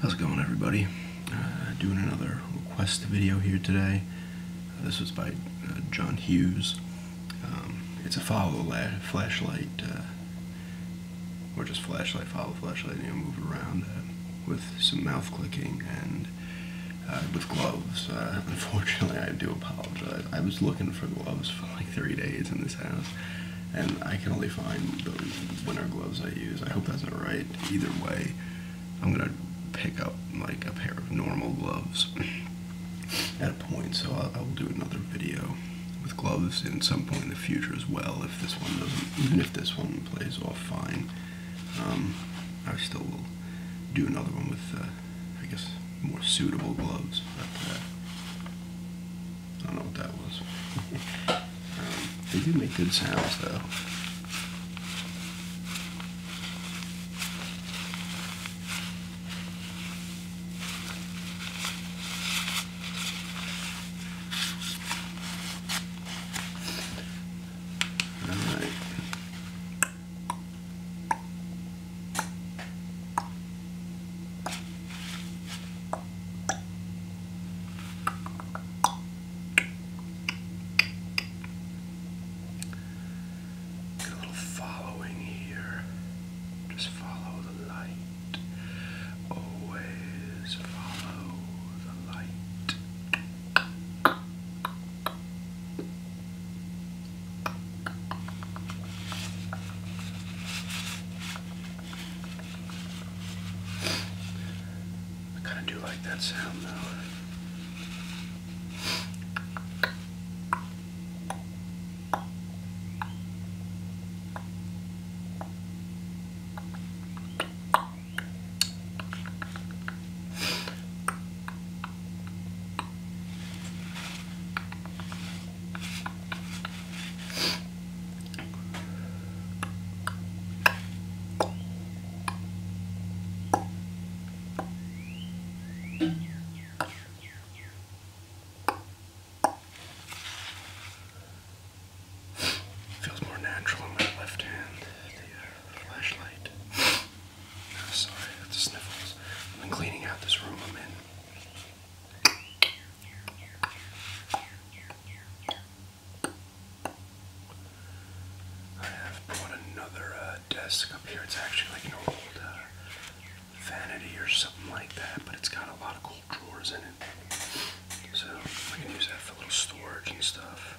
How's it going everybody? Uh, doing another request video here today. Uh, this was by uh, John Hughes. Um, it's a follow flashlight, or just flashlight, follow flashlight, you move around with some mouth clicking and with gloves. unfortunately, I do apologize. I was looking for gloves for like three days in this house and I can only find the winter gloves I use. I hope that's alright. Either way, I'm gonna pick up like a pair of normal gloves at a point, so I'll, do another video with gloves in some point in the future as well, if this one doesn't, even if this one plays off fine. Um, I still will do another one with, uh, I guess, more suitable gloves, I don't know what that was. Um, they do make good sounds though. All right a little following here. Just follow the light. Always follow the light. I kind of do like that sound though. Feels more natural in my left hand, the uh, flashlight. Oh, sorry, that's the sniffles. I've cleaning out this room I'm in. I have brought another uh, desk up here. It's actually like an old uh, vanity or something like that, but it's got a lot of cool drawers in it. So I can use that for little storage and stuff.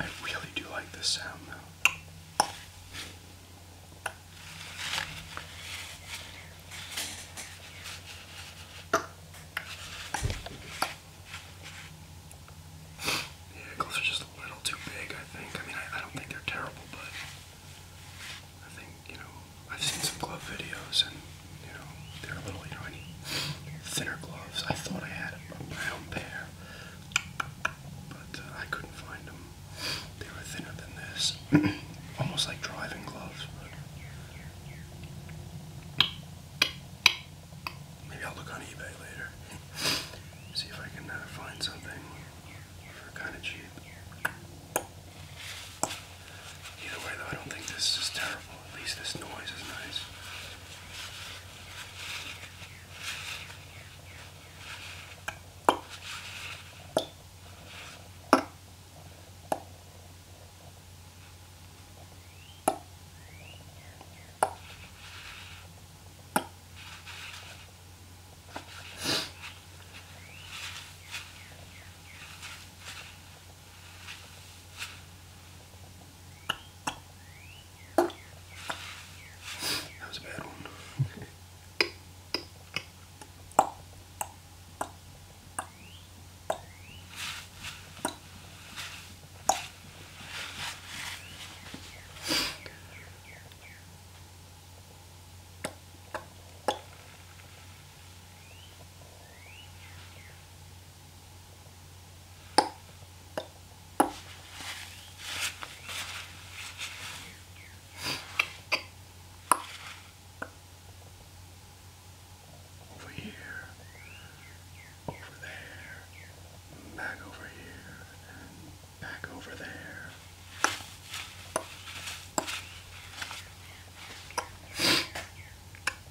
I really do like this sound though. The ankles are just a little too big, I think. I mean, I don't think they're terrible, but I think, you know, I've seen some glove videos, and you know they're a little, you know, I thinner gloves. I thought I had a brown pair, but uh, I couldn't find them. They were thinner than this, almost like driving gloves. Maybe I'll look on eBay later, see if I can uh, find something for kind of cheap. Either way, though, I don't think this is terrible. At least this noise is nice. That was a bad one. Over here, over there, back over here, and back over there. Got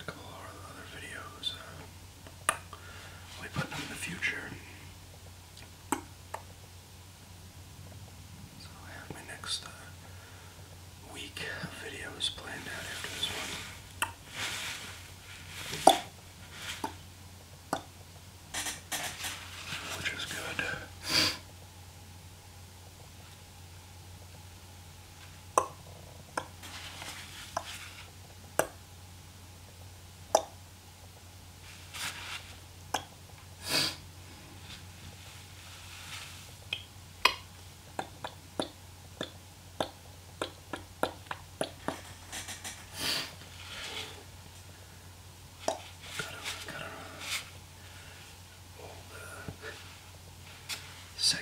a couple of other videos. Uh, i them in the future. So I have my next uh, week of videos planned out after this one which is good. Got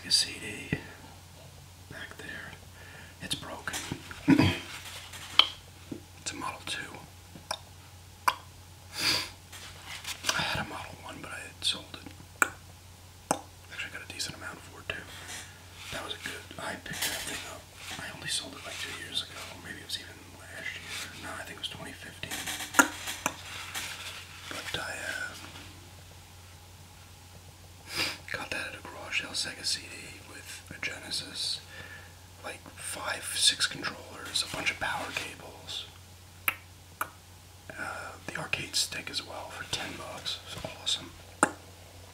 Sega CD back there. It's broken. it's a Model 2. I had a Model 1, but I had sold it. Actually, I got a decent amount for it too. That was a good. I picked that thing up. I only sold it like two years ago. Maybe it was even last year. No, I think it was 2015. But I uh, got that at a garage sale Sega CD with a Genesis, like five, six controllers, a bunch of power cables. Uh, the arcade stick as well for 10 bucks. It's awesome.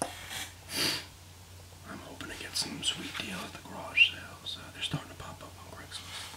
I'm hoping to get some sweet deal at the garage sales. Uh, they're starting to pop up on Craigslist.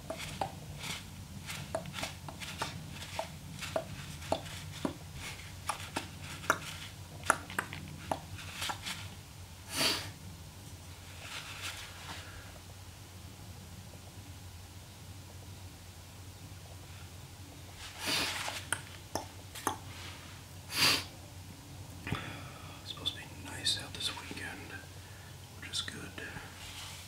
It's supposed to be nice out this weekend, which is good.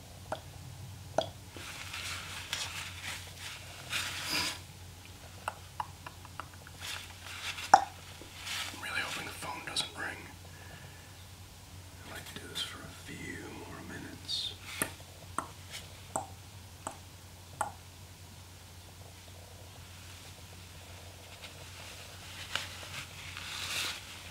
I'm really hoping the phone doesn't ring. I'd like to do this for a few more minutes.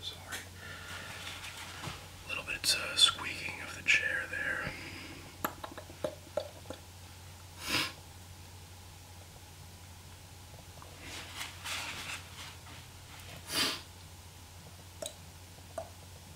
Sorry. A little bit uh, squeaking of the chair there.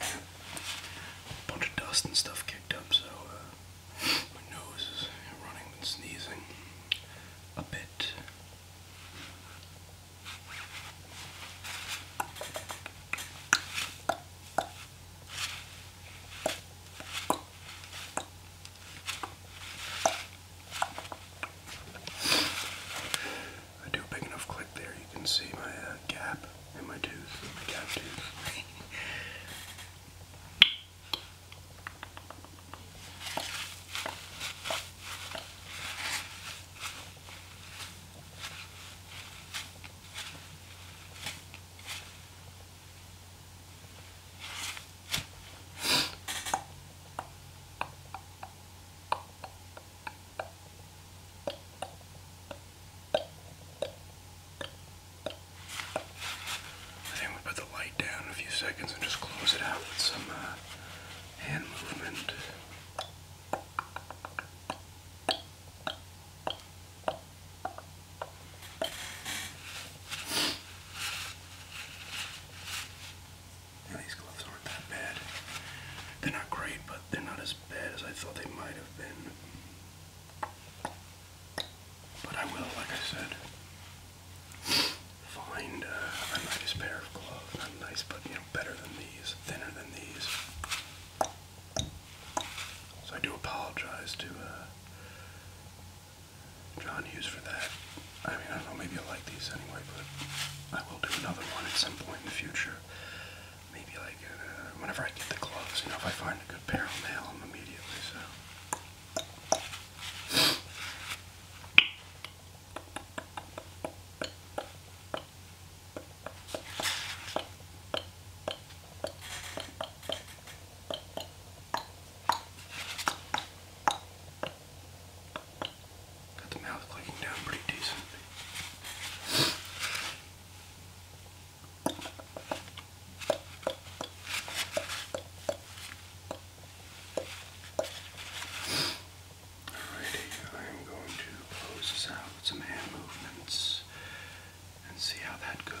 a bunch of dust and stuff kicked up, so uh, my nose is running and sneezing a bit. I do a big enough click there, you can see my uh, gap and my tooth, my cat tooth. I think we put the light down in a few seconds and just close it out with some uh, hand movement. And these gloves aren't that bad. They're not great, but they're not as bad as I thought they might have been. But I will, like I said, find uh, a nice pair of gloves. Not nice, but you know, better than these, thinner than these. So I do apologize to uh, John Hughes for that. I mean, I don't know, maybe I like these anyway, but I will do another one at some point in the future maybe like uh, whenever I get the gloves, you know, if I find a good pair, I'll nail them immediately. So. Got the mouth clicking down pretty decent. Alrighty, I'm going to close this out with some hand movements and see how that goes.